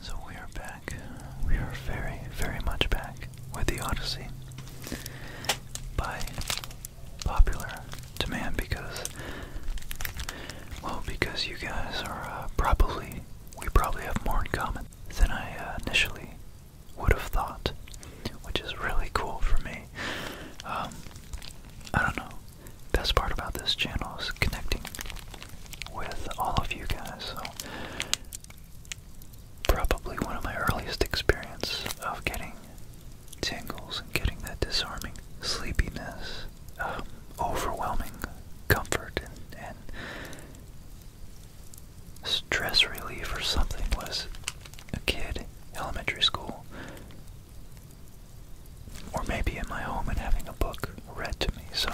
So we are back. We are very, very much back with the Odyssey by popular demand because, well, because you guys are uh, probably, we probably have more in common than I uh, initially would have thought, which is really cool for me. Um, I don't know. Best part about this channel is connecting with all of you guys. So probably one of my earliest experiences of getting tingles and getting that disarming sleepiness, um, overwhelming comfort and, and stress relief or something was a kid, elementary school, or maybe in my home and having a book read to me. So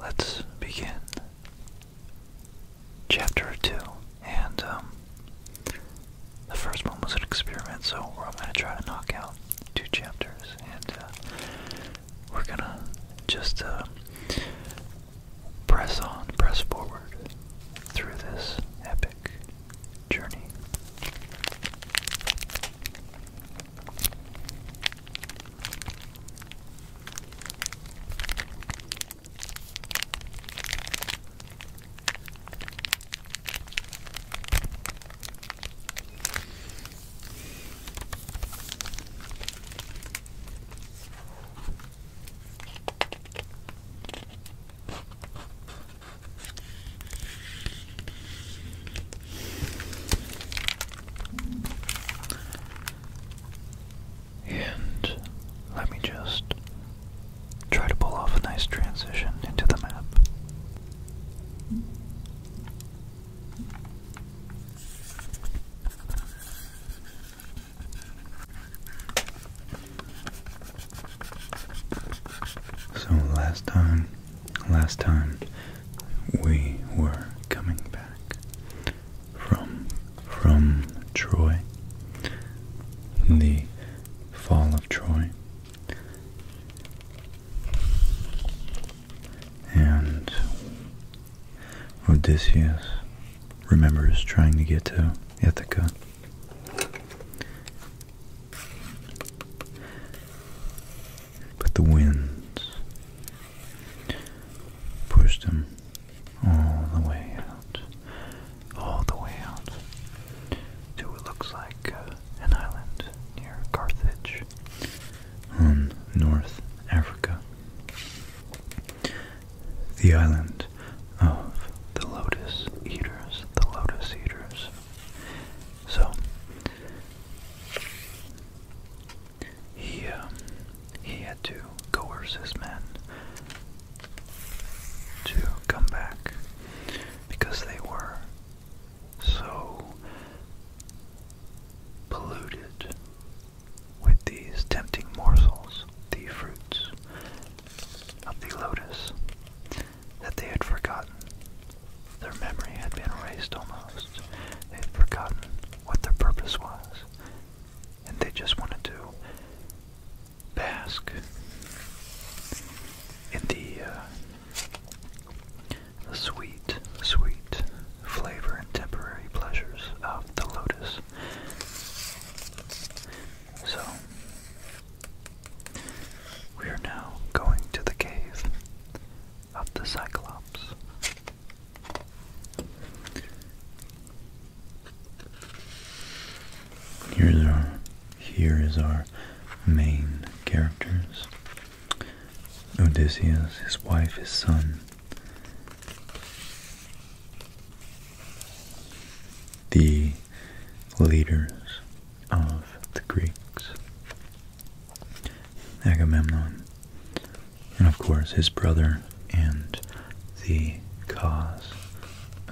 let's begin chapter 2. And um, the first one was an experiment, so I'm going to try to knock out two chapters. And uh, we're going to just. Uh, press on, press forward through this epic journey. And let me just try to pull off a nice transition into the map. So last time, last time we were coming back from from Troy, the fall of Troy. And Odysseus remembers trying to get to Ithaca. But the winds pushed him all the way out, all the way out to what looks like uh, an island near Carthage on North Africa the island of the lotus eaters, the lotus eaters. So he um, he had to coerce his men to come back because they were so polluted with these tempting morsels, the fruits of the lotus that they had forgotten. Their memory had been erased almost. They had forgotten what their purpose was. And they just wanted to bask in the, uh, the sweet, sweet flavor and temporary pleasures of the lotus. So, we are now going to the cave of the Cyclops. Here's our, here is our main characters. Odysseus, his wife, his son, the leaders of the Greeks, Agamemnon, and of course his brother, and the cause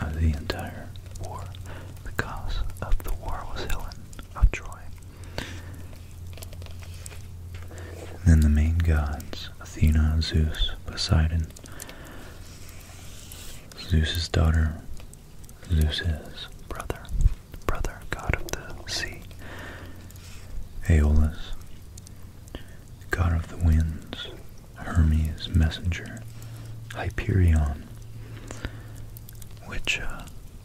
of the entire war. The cause of the war was Helen of Troy. then the main gods Athena, Zeus, Poseidon, Zeus's daughter, Zeus's brother, brother, god of the sea, Aeolus, god of the winds, Hermes, messenger, Hyperion, which uh,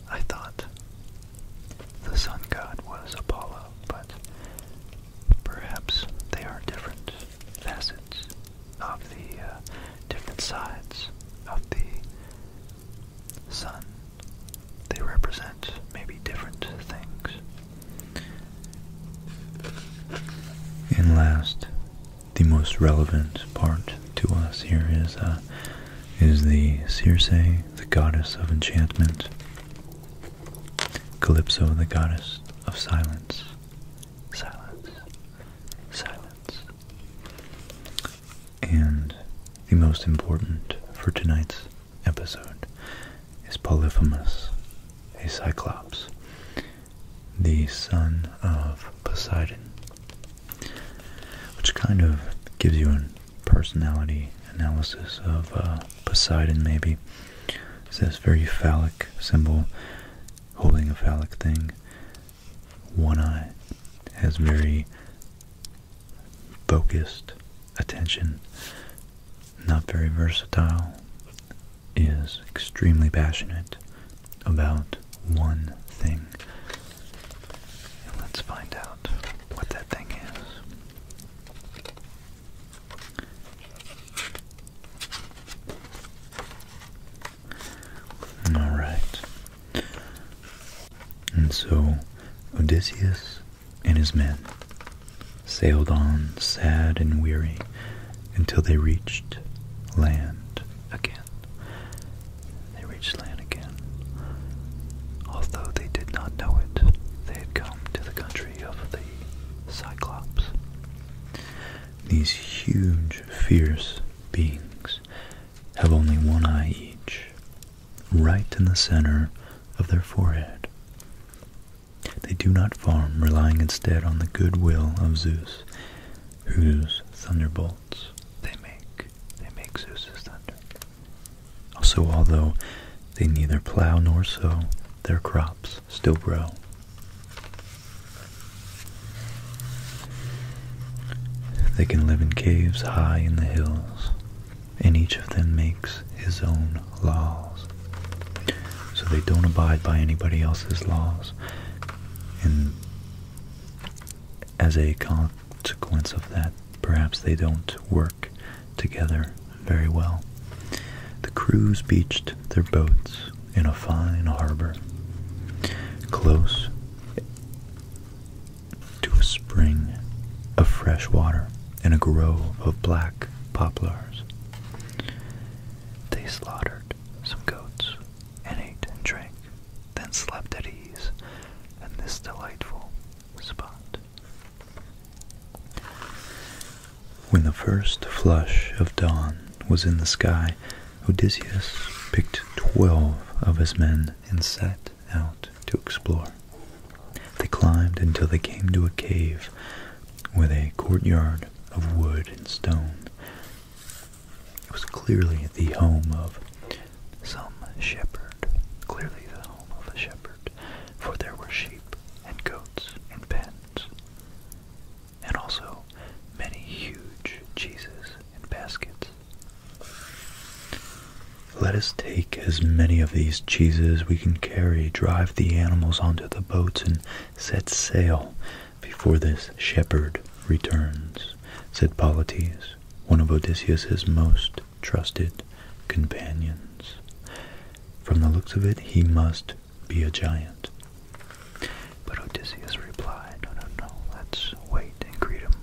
I thought the sun god was Apollo, but Perhaps they are different facets of the uh, different sides of the sun. They represent maybe different things. And last, the most relevant part to us here is uh, is the Circe, the goddess of enchantment. Calypso, the goddess of silence. Silence. Silence. And the most important for tonight's episode is Polyphemus, a cyclops, the son of Poseidon, which kind of gives you a personality analysis of uh, Poseidon maybe. It's this very phallic symbol, holding a phallic thing. One eye has very focused attention, not very versatile, is extremely passionate about one thing. let's find out what that thing is. All right. And so Odysseus and his men sailed on sad and weary until they reached land again. They reached land again. Although they did not know it, they had come to the country of the Cyclops. These huge, fierce beings have only one eye each, right in the center of their forehead. They do not farm, relying instead on the goodwill of Zeus, whose thunderbolts they make. They make Zeus's thunder. Also, although they neither plow nor sow their crops, still bro. They can live in caves high in the hills, and each of them makes his own laws. So they don't abide by anybody else's laws, and as a consequence of that, perhaps they don't work together very well. The crews beached their boats in a fine harbor, close to a spring of fresh water and a grove of black poplars. They slaughtered some goats and ate and drank, then slept at ease in this delightful spot. When the first flush of dawn was in the sky, Odysseus picked twelve of his men and set out to explore. They climbed until they came to a cave with a courtyard of wood and stone. It was clearly the home of some shepherd, clearly the home of a shepherd, for there were sheep and goats and pens and also many huge cheeses in baskets. Let us take as many of these cheeses we can carry, drive the animals onto the boats, and set sail before this shepherd returns, said Polites, one of Odysseus's most trusted companions. From the looks of it, he must be a giant. But Odysseus replied, No, no, no, let's wait and greet him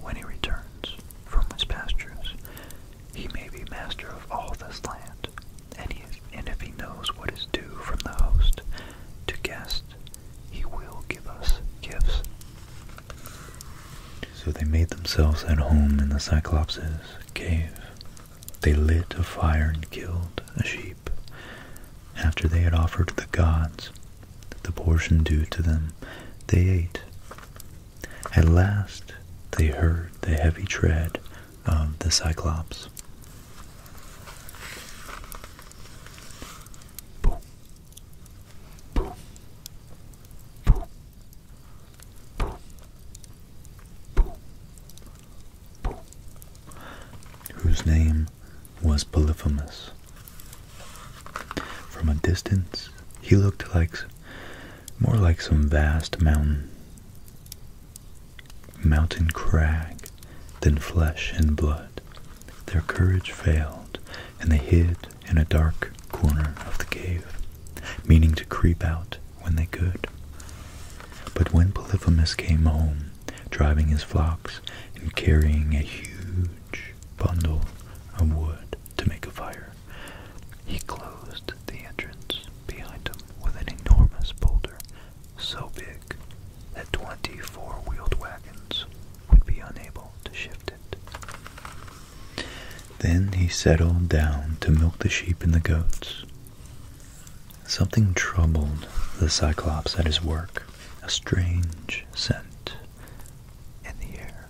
when he returns from his pastures. He may be master of all this land, and, if he knows what is due from the host to guest, he will give us gifts. So they made themselves at home in the Cyclops' cave, they lit a fire and killed a sheep. After they had offered the gods the portion due to them, they ate. At last they heard the heavy tread of the Cyclops whose name was Polyphemus. From a distance, he looked like more like some vast mountain mountain crag than flesh and blood. Their courage failed, and they hid in a dark corner of the cave, meaning to creep out when they could. But when Polyphemus came home, driving his flocks and carrying a huge bundle of wood to make a fire, he closed the entrance behind him with an enormous boulder so big that twenty four-wheeled wagons would be unable to shift it. Then he settled down to milk the sheep and the goats, Something troubled the Cyclops at his work, a strange scent in the air.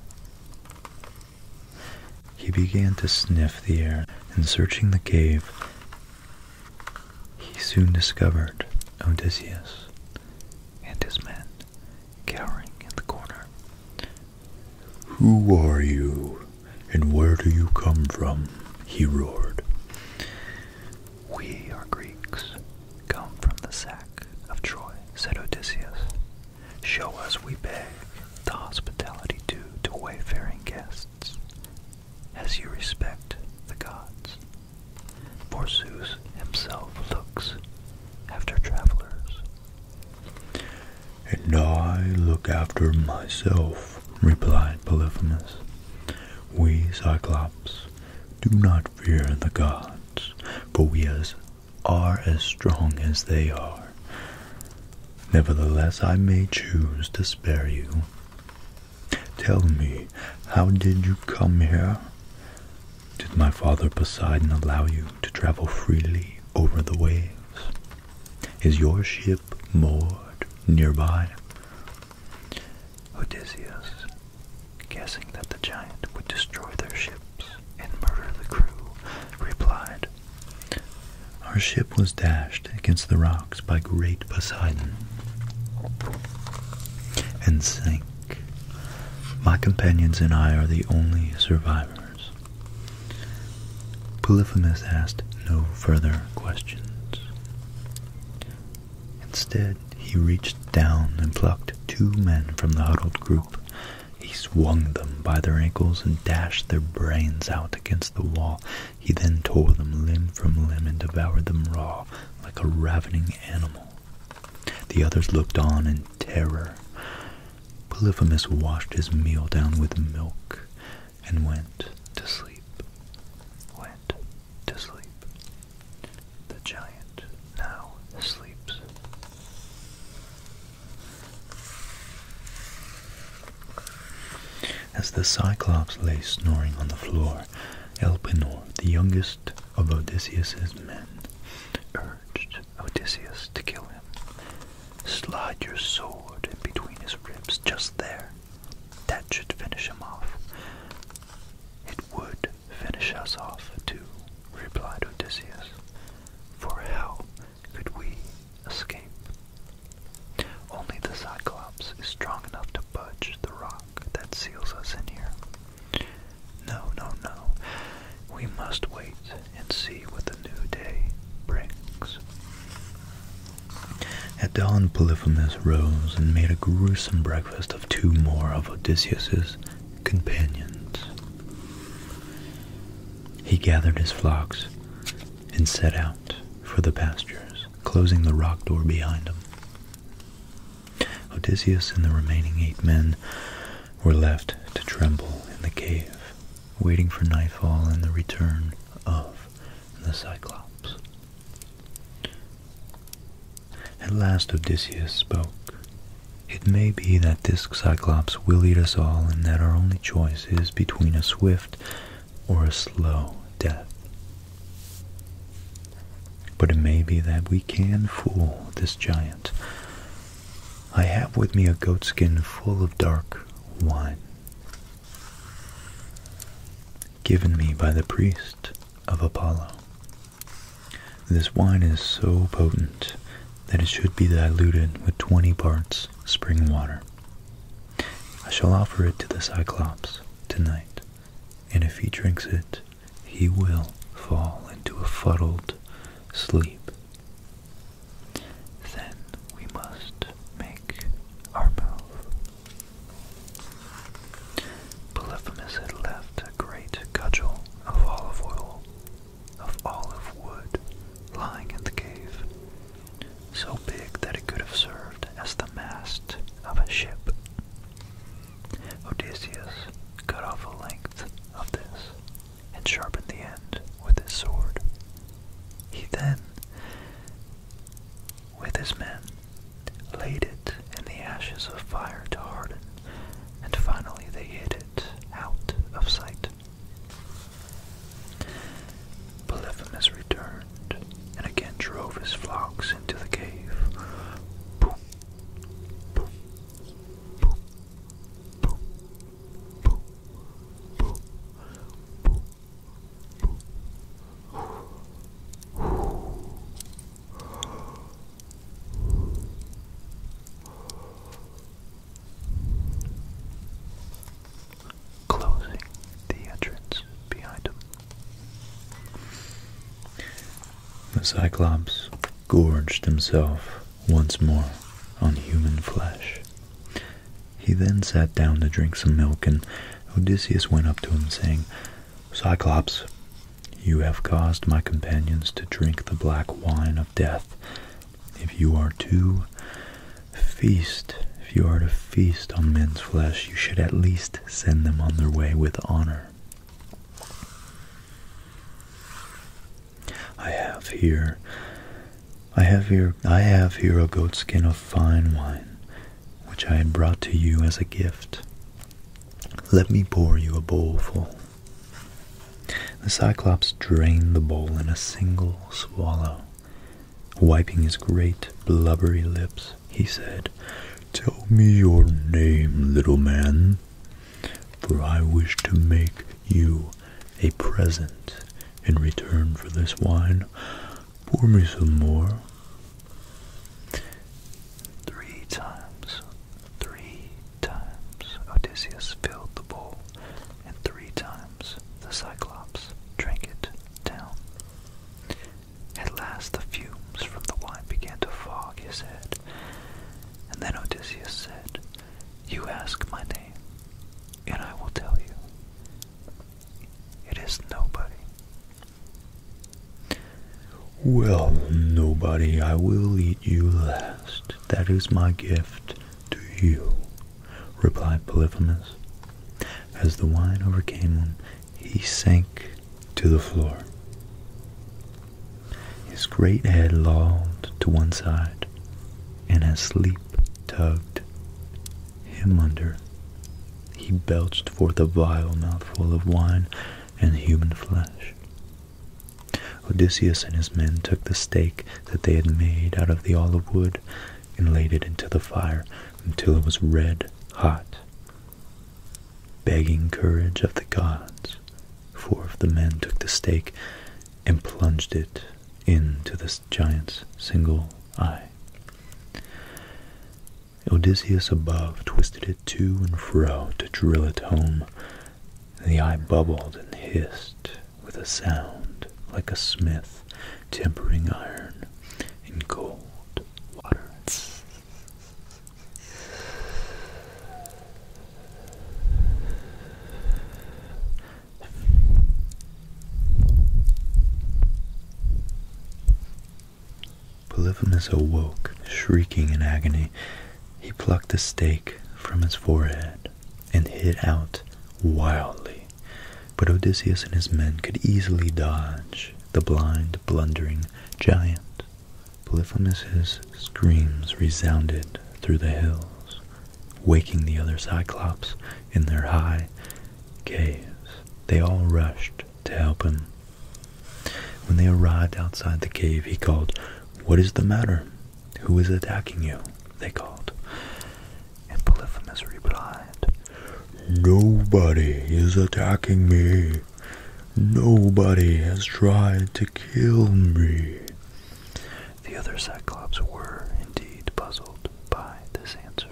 He began to sniff the air, and searching the cave, he soon discovered Odysseus and his men cowering in the corner. Who are you? And where do you come from? he roared. We are Greeks, come from the sack of Troy, said Odysseus. Show us, we beg, the hospitality due to wayfaring guests, as you respect the gods. For Zeus himself looks after travelers. And I look after myself, replied Polyphemus. We, Cyclops, do not fear the gods, for we as are as strong as they are. Nevertheless, I may choose to spare you. Tell me, how did you come here? Did my father Poseidon allow you to travel freely over the waves? Is your ship moored nearby. Odysseus, guessing that the giant would destroy their ships and murder the crew, replied, Our ship was dashed against the rocks by great Poseidon and sank. My companions and I are the only survivors. Polyphemus asked no further questions. Instead, he reached down and plucked two men from the huddled group. He swung them by their ankles and dashed their brains out against the wall. He then tore them limb from limb and devoured them raw, like a ravening animal. The others looked on in terror. Polyphemus washed his meal down with milk and went to sleep, went to sleep. The giant now sleeps. As the Cyclops lay snoring on the floor, Elpenor, the youngest of Odysseus's men, urged Odysseus to kill him. Slide your sword in between his ribs just there, that should finish him off. It would finish us off, too, replied Odysseus. For how could we escape? Only the Cyclops is strong enough to budge the rock that seals us in here. No, no, no. We must wait and see what the new day brings. At dawn Polyphemus rose and made a gruesome breakfast of two more of Odysseus's companions. He gathered his flocks and set out for the pastures, closing the rock door behind him. Odysseus and the remaining eight men were left to tremble in the cave, waiting for nightfall and the return of the Cyclops. At last Odysseus spoke. It may be that this Cyclops will eat us all, and that our only choice is between a swift or a slow death. But it may be that we can fool this giant. I have with me a goatskin full of dark wine given me by the priest of Apollo. This wine is so potent that it should be diluted with 20 parts spring water. I shall offer it to the Cyclops tonight, and if he drinks it, he will fall into a fuddled sleep. Then we must make our move. Polyphemus had left a great cudgel of olive oil, wood, lying in the cave, so big that it could have served as the mast of a ship. Odysseus cut off a length of this and sharpened the end with his sword. He then with his men, laid it in the ashes of fire to harden, and finally they hid it out of sight. Polyphemus returned and again drove his flocks into the cave. Closing the entrance behind him. The Cyclops gorged himself once more on human flesh, he then sat down to drink some milk, and Odysseus went up to him, saying, Cyclops, you have caused my companions to drink the black wine of death. If you are to feast, if you are to feast on men's flesh, you should at least send them on their way with honor. I have here I have here I have here a goatskin of fine wine, which I had brought to you as a gift. Let me pour you a bowlful. The Cyclops drained the bowl in a single swallow. Wiping his great blubbery lips, he said, Tell me your name, little man, for I wish to make you a present in return for this wine. Pour me some more. Three times, three times Odysseus filled the bowl, and three times the Cyclops drank it down. At last the fumes from the wine began to fog his head, and then Odysseus said, You ask my name, and I will tell you. It is nobody. Well, nobody, I will eat you last. That is my gift to you, replied Polyphemus. As the wine overcame him, he sank to the floor. His great head lolled to one side, and his sleep tugged him under. He belched forth a vile mouthful of wine and human flesh. Odysseus and his men took the stake that they had made out of the olive wood and laid it into the fire until it was red hot, begging courage of the gods. Four of the men took the stake and plunged it into the giant's single eye. Odysseus above twisted it to and fro to drill it home. The eye bubbled and hissed with a sound like a smith tempering iron in cold water. Polyphemus awoke, shrieking in agony. He plucked a stake from his forehead and hit out wildly. But Odysseus and his men could easily dodge the blind, blundering giant. Polyphemus's screams resounded through the hills, waking the other Cyclops in their high, Gaze. They all rushed to help him. When they arrived outside the cave, he called, What is the matter? Who is attacking you? They called. And Polyphemus replied, Nobody is attacking me. Nobody has tried to kill me. The other cyclopes were indeed puzzled by this answer.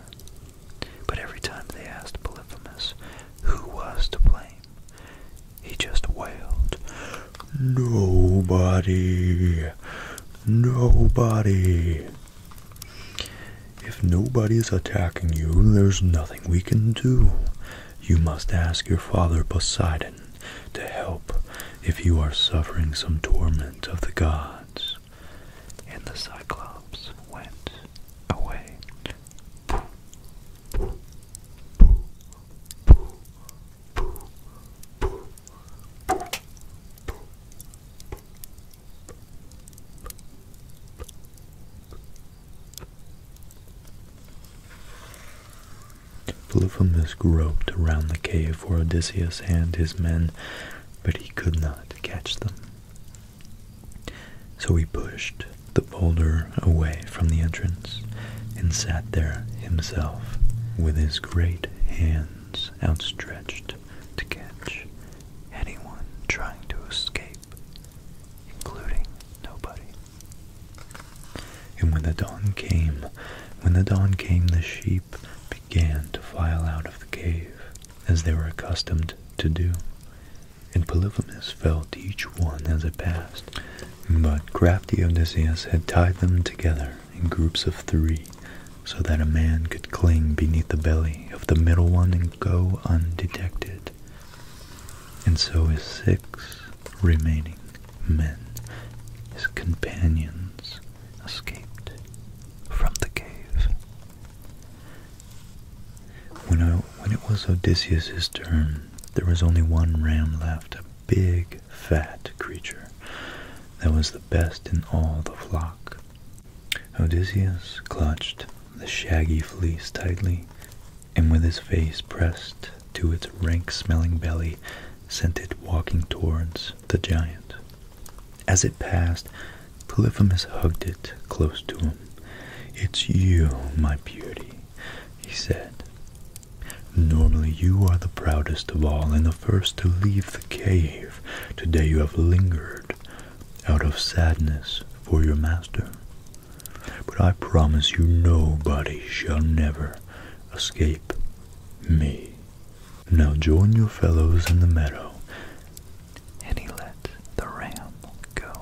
But every time they asked Polyphemus who was to blame, he just wailed, Nobody! Nobody! If nobody is attacking you, there's nothing we can do. You must ask your father Poseidon to help if you are suffering some torment of the gods and the Cyclops went away. Polyphemus groped around the cave for Odysseus and his men, but he could not catch them. So he pushed the boulder away from the entrance and sat there himself with his great hands outstretched to catch anyone trying to escape, including nobody. And when the dawn came, when the dawn came, the sheep began to file out of the cave as they were accustomed to do, and Polyphemus felt each one as it passed. But crafty Odysseus had tied them together in groups of three, so that a man could cling beneath the belly of the middle one and go undetected. And so his six remaining men, his companions, escaped from the cave. When, it was Odysseus's turn, there was only one ram left, a big, fat creature that was the best in all the flock. Odysseus clutched the shaggy fleece tightly, and with his face pressed to its rank-smelling belly, sent it walking towards the giant. As it passed, Polyphemus hugged it close to him. It's you, my beauty, he said. Normally you are the proudest of all and the first to leave the cave. Today you have lingered out of sadness for your master. But I promise you nobody shall never escape me. Now join your fellows in the meadow and he let the ram go.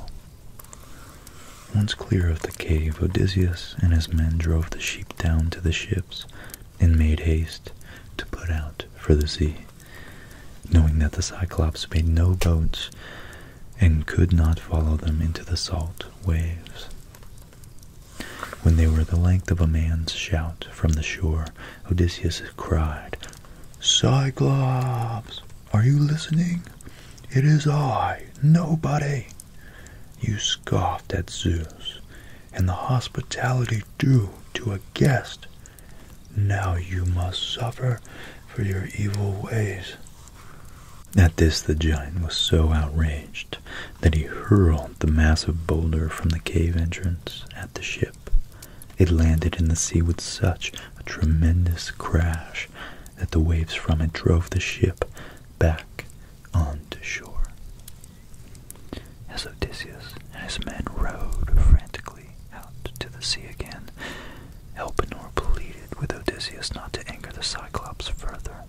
Once clear of the cave, Odysseus and his men drove the sheep down to the ships and made haste to put out for the sea, knowing that the Cyclops made no boats and could not follow them into the salt waves. When they were the length of a man's shout from the shore, Odysseus cried, Cyclops, are you listening? It is I, nobody. You scoffed at Zeus and the hospitality due to a guest. Now you must suffer for your evil ways. At this, the giant was so outraged that he hurled the massive boulder from the cave entrance at the ship. It landed in the sea with such a tremendous crash that the waves from it drove the ship back onto shore. As Odysseus and his men rowed frantically out to the sea again, Elpenor pleaded with Odysseus not to anger the Cyclops further.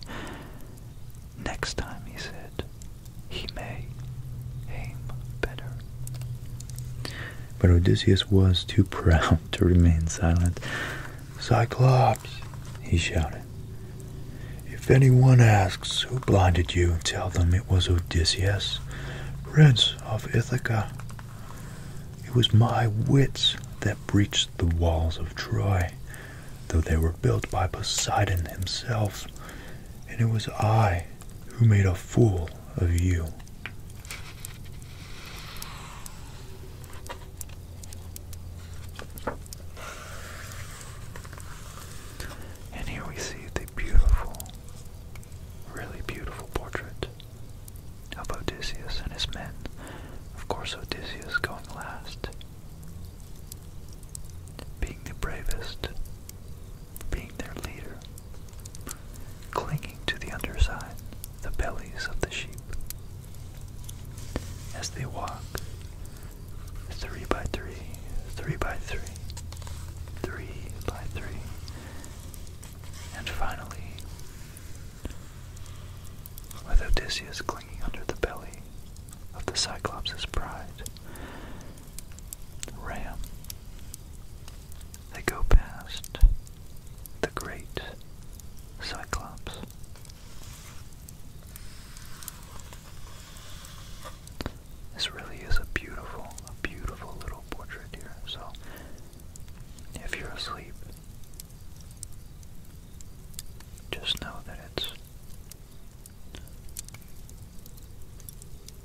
Next time, he said, he may aim better. But Odysseus was too proud to remain silent. Cyclops, he shouted. If anyone asks who blinded you, tell them it was Odysseus, prince of Ithaca. It was my wits that breached the walls of Troy, though they were built by Poseidon himself, and it was I who made a fool of you. And here we see the beautiful, really beautiful portrait of Odysseus and his men. Of course, Odysseus going last, being the bravest being their leader, clinging to the underside, the bellies of the sheep. As they walk, three by three, three by three, three by three, and finally, with Odysseus clinging under the belly of the Cyclops' pride, Ram they go past the great Cyclops. This really is a beautiful, beautiful little portrait here. So, if you're asleep, just know that it's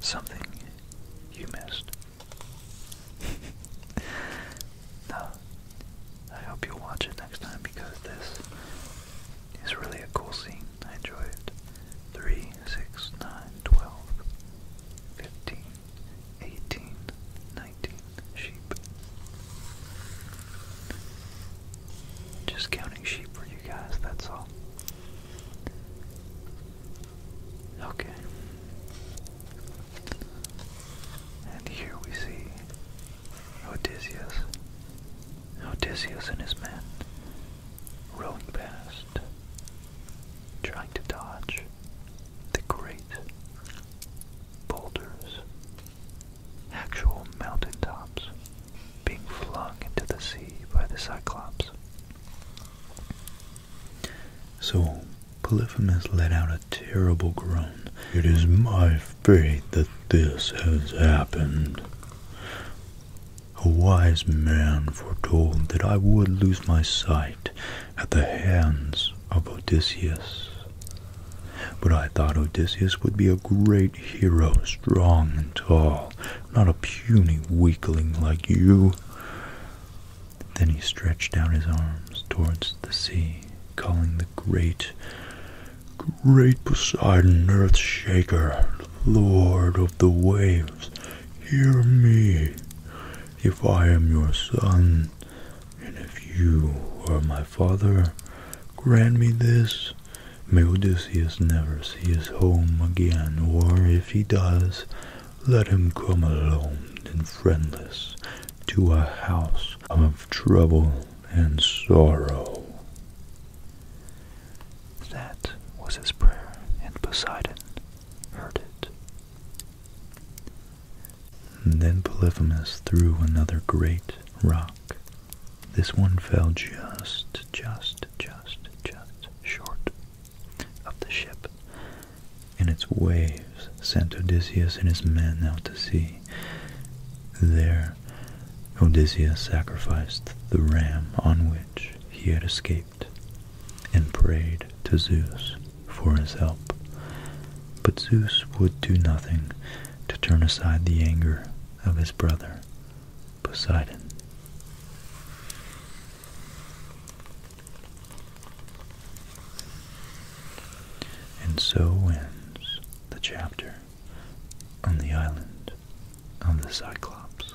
something you missed no, I hope you watch it next time because this is really a cool scene. I enjoy it. sheep. Just counting sheep for you guys, that's all. Okay. And here we see Odysseus. Odysseus and his men rowing past, trying to dodge the great boulders, actual mountaintops being flung into the sea by the Cyclops. So Polyphemus let out a terrible groan. It is my fate that this has happened. A wise man foretold that I would lose my sight at the hands of Odysseus. But I thought Odysseus would be a great hero, strong and tall, not a puny weakling like you. Then he stretched out his arms towards the sea, calling the great, great Poseidon, earth shaker, lord of the waves, hear me, if I am your son, and if you are my father, grant me this. May Odysseus never see his home again, or if he does, let him come alone and friendless to a house of trouble and sorrow. That was his prayer, and Poseidon heard it. then Polyphemus threw another great rock. This one fell just, just, just, just short of the ship, and its waves sent Odysseus and his men out to sea. There Odysseus sacrificed the ram on which he had escaped, and prayed to Zeus for his help. But Zeus would do nothing to turn aside the anger of his brother, Poseidon. And so ends the chapter on the island of the Cyclops.